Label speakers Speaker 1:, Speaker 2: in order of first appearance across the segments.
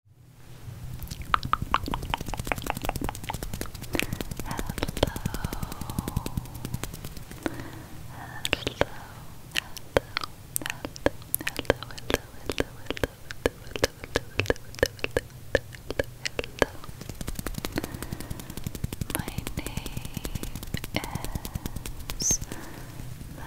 Speaker 1: hello. My name is Mel, Mel,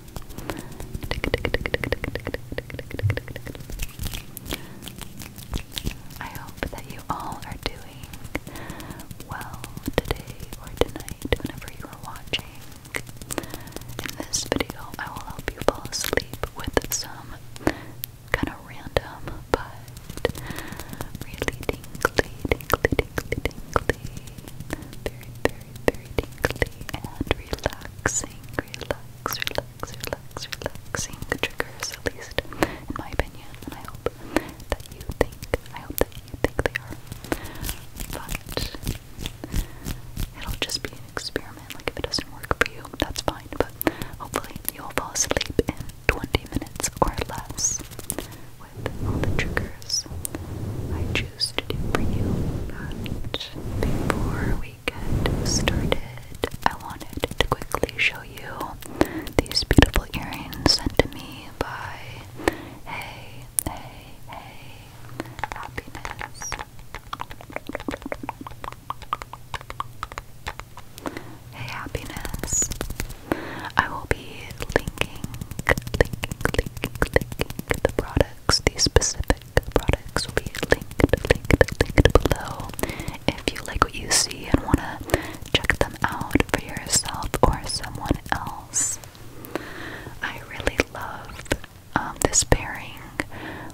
Speaker 1: I hope that you all are doing well today or tonight, whenever you are watching. In this video, I will help you fall asleep with some kind of random but really tingly, tingly, tingly, tingly, very, very, very tingly and relaxing relax, relax, relax, relaxing triggers, at least in my opinion. And I hope that you think, I hope that you think they are. But it'll just be an experiment. Like if it doesn't work for you, that's fine. But hopefully you'll fall asleep in 20 minutes or less with all the triggers I choose to do for you. But before we get started, I wanted to quickly show you these beautiful earrings sent to me by Hey, Hey, Hey Happiness. Hey Happiness. I will be linking, linking, linking, linking the products, these specific products will be linked, linked, linked below if you like what you see and want to check them out for yourself or someone else. I really love um, this pairing.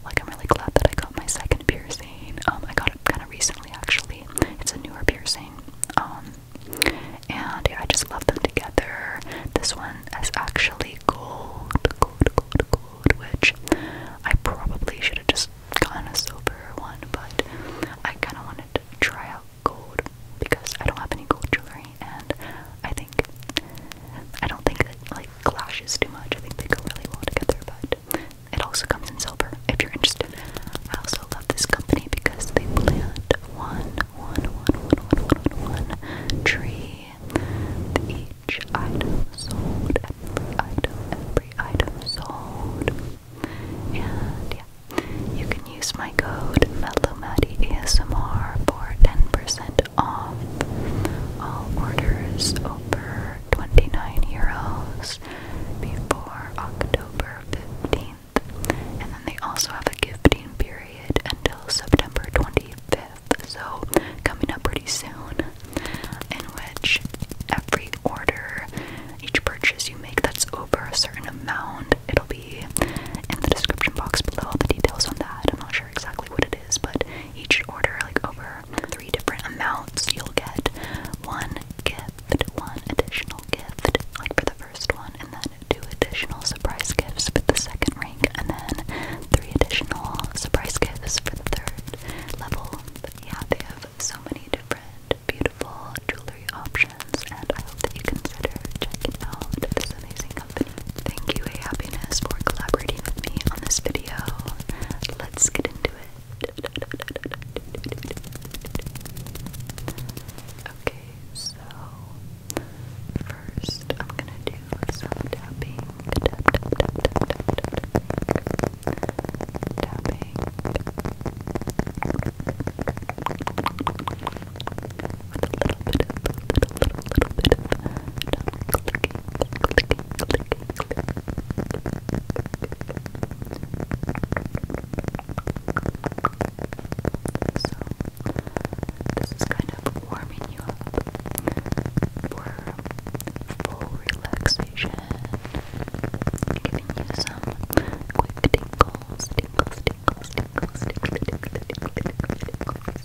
Speaker 1: Like, I'm really glad that I got my second piercing. Um, I got it kind of recently, actually. It's a newer piercing. Um, and I just love them together. This one one actually gold, gold, gold, gold, which I probably should have just gotten a silver one, but I kind of wanted to try out gold because I don't have any gold jewelry, and I think I don't think that like clashes too much. I think they go really well together, but it also comes in silver if you're interested. I also love this company because they plant one, one, one, one, one, one, one, one tree each item sold, every item, every item sold. And yeah. You can use my code ASMR for 10% off all orders over 29 euros before October 15th. And then they also have a gifting period until September 25th, so coming up pretty soon, in which every order, each purchase you make that's over a certain amount, it'll be in the description box below all the details on that. I'm not sure exactly what it is, but each order, like over three different amounts, you'll get one gift, one additional gift, like for the first one, and then two additional surprise gifts for the second rank, and then three additional surprise gifts for the third level. yeah, they have so many different beautiful jewelry options, and I hope that you consider checking out this amazing company. Thank you, A Happiness, for collaborating with me on this video. Let's get into it. Okay, so first I'm gonna do some tapping, tapping, a little bit of, little, bit so, this is kind of warming you up for full relaxation, giving you some quick tingles, tingles, tingles, tingles, tingles, tingles, tingles, tingles,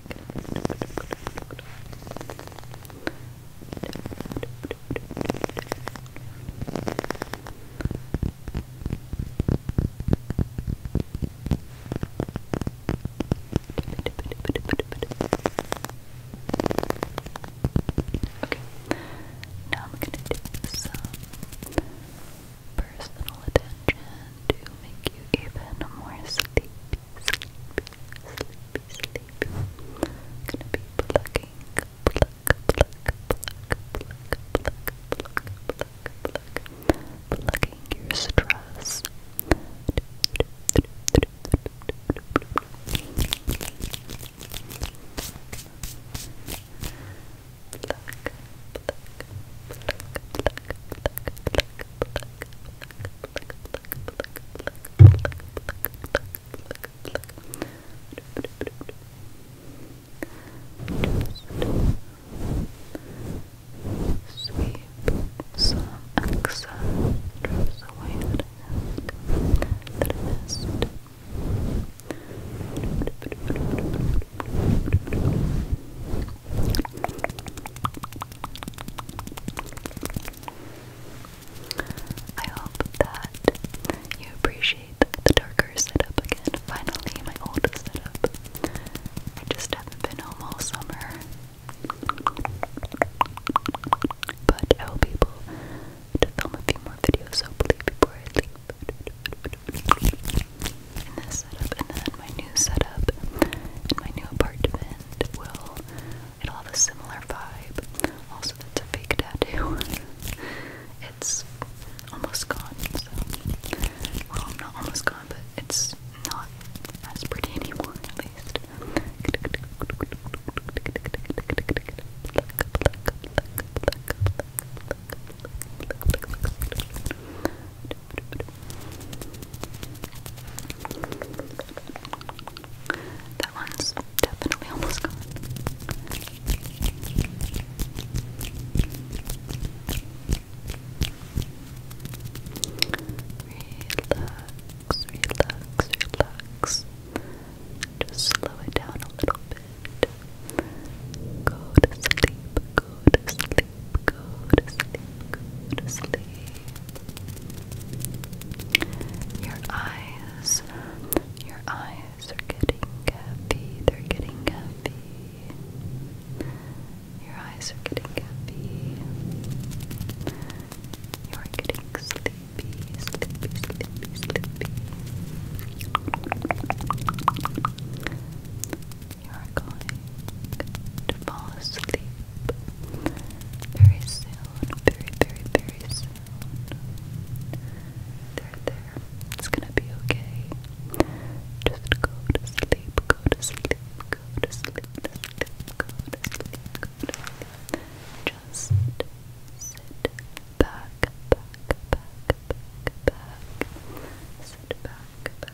Speaker 1: Okay, now I'm gonna do some personal attention to make you even more sleepy sleepy, sleepy. i gonna be plucking, pluck, pluck, pluck, pluck, pluck, pluck, pluck, pluck, your stress. Pluck, pluck, pluck, pluck, pluck, pluck, pluck, just sweep some excess drops away that I that I missed. Just I hope that you appreciate the darker setup again. Finally, my old setup. I just have been home all summer. But I will be able to film a few more videos hopefully before I leave in this setup, and then my new setup and my new apartment will it'll have a similar vibe. Also, that's a fake tattoo. it's almost gone. So, well, not almost gone, but it's not as pretty anymore, at least. That one's definitely almost gone. Relax, relax, relax. Just slow it down a little bit. Go to sleep, go to sleep go to sleep, go to sleep. Your eyes, your eyes are getting heavy, they're getting heavy. Your eyes are getting heavy. You are getting sleepy, sleepy, sleepy, sleepy. You're going to fall asleep very soon, very, very, very soon. There, there. It's gonna be okay. Just go to sleep, go to sleep, go to sleep, go to sleep, go to sleep. Just sit back, back, back, back, back. Sit back.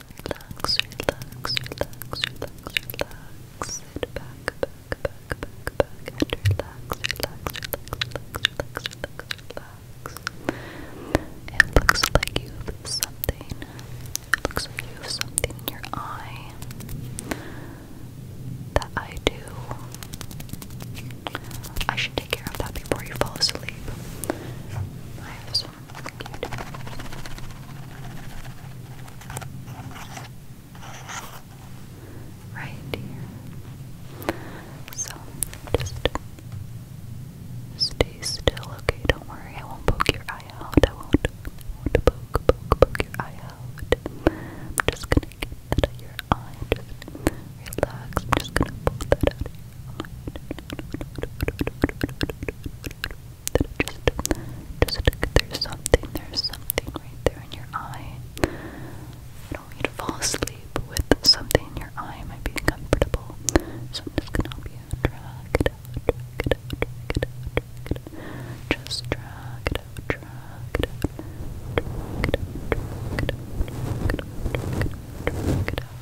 Speaker 1: relax, relax, relax, relax. Sit back, back, back, back, back, and relax, relax, relax, relax, relax, relax. It looks like you have something. It looks like you have something in your eye that I do. I should take care of that before you fall asleep. I have some Right here. So just stay still, okay? Don't worry, I won't poke your eye out. I won't, won't poke, poke, poke your eye out. I'm just gonna get that your eye. Just relax. I'm just gonna pull that out just, just there's something, there's something right there in your eye. I do you to fall asleep with something in your eye. might be uncomfortable. So gonna help you drag it out, drag it out, drag it out, drag it out. Just drag it out, drag it out, drag it out, drag it out, drag it out, drag it out, drag it out. Drag it out.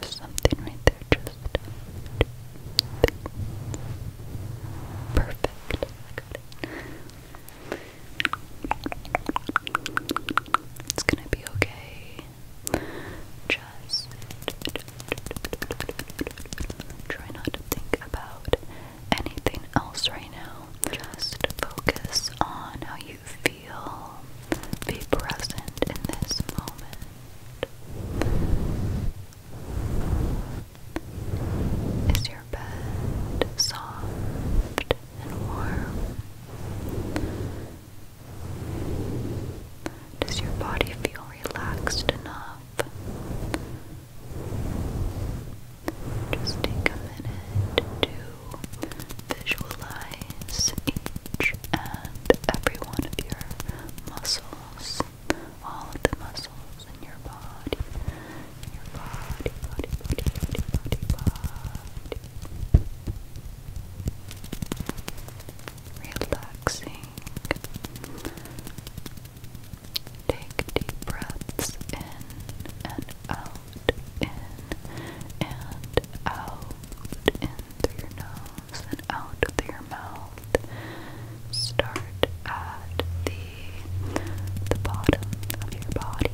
Speaker 1: There's something right there, just perfect. It's gonna be okay. Just try not to think about anything else right now. Just focus on how you feel feel, be present in this moment. Is your bed soft and warm? Does your body feel relaxed enough? Just take a minute to visualize each and every one of your muscles, all of the muscles in your body, your body, body, body, body, body, body. Relaxing. Take deep breaths in and out, in and out, in through your nose and out through your mouth. Start at the the bottom of your body.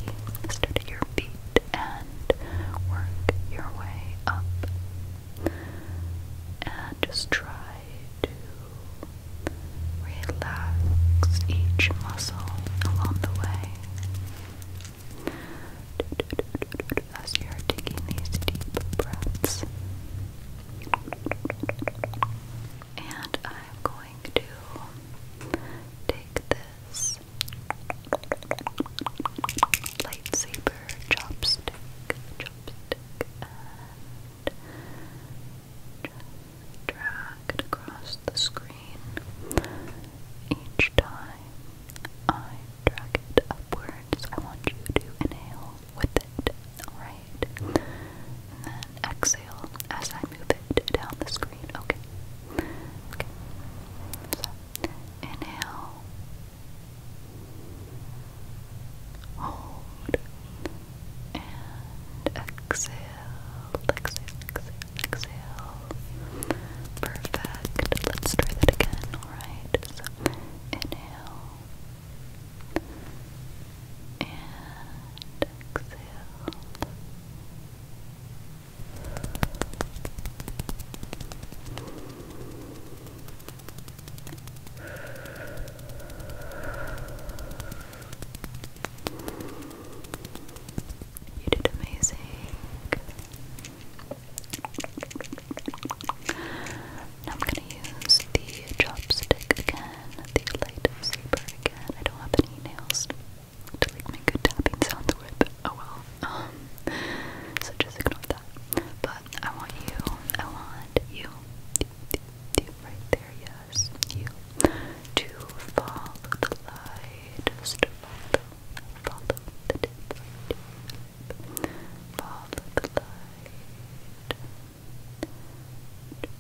Speaker 1: Start at your feet and work your way up. And just try to relax each muscle along the way as you're taking these deep breaths. And I'm going to take this lightsaber chopstick, chopstick, and drag it across the screen. Each time I drag it upwards, I want you to inhale with it, alright? And then exhale as I move it down the screen, okay? Okay. So, inhale. Hold and exhale, exhale, exhale, exhale. Perfect. Let's try that again. Alright. So inhale and exhale. You did amazing. I'm gonna use the chopstick again, the light saber again. I don't have any nails to make good tapping sounds with. Oh well. Um, so just ignore that. But I want you, I want you, you, you, right there, yes, you to follow the light. Follow the tip. Follow the light. Good,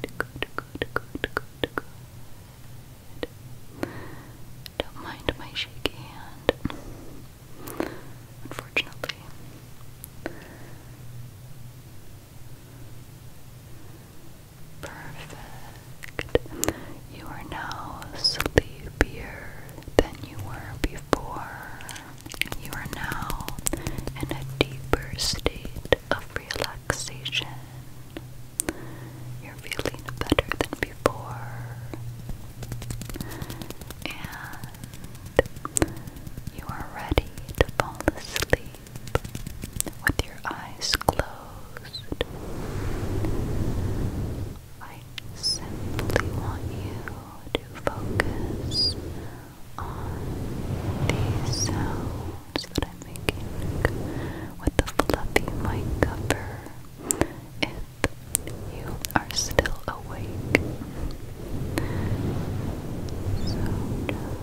Speaker 1: good, good, good, good, good. Don't mind my shaky hand. Unfortunately. Perfect. You are now sleepier than you were before. You are now in a deeper state of relaxation. You're feeling better than before. And you are ready to fall asleep with your eyes closed. I simply want you to focus on these sounds that I'm making with the fluffy mic cover if you are still awake. So just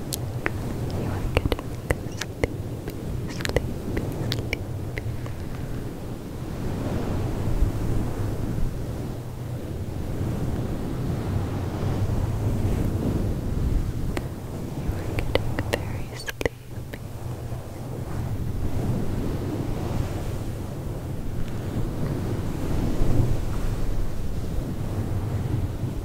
Speaker 1: You are getting sleepy, sleepy, sleepy. You are getting very sleepy. You are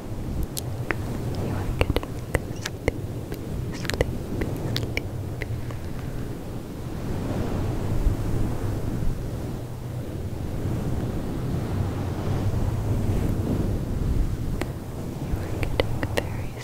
Speaker 1: You are getting sleepy, sleepy, sleepy. You are getting very sleepy. You are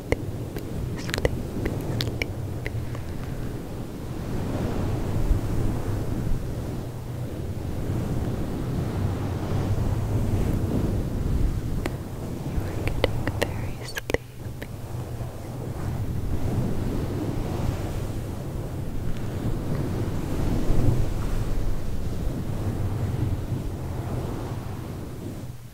Speaker 1: sleepy, sleepy. You are getting very sleepy. Relax,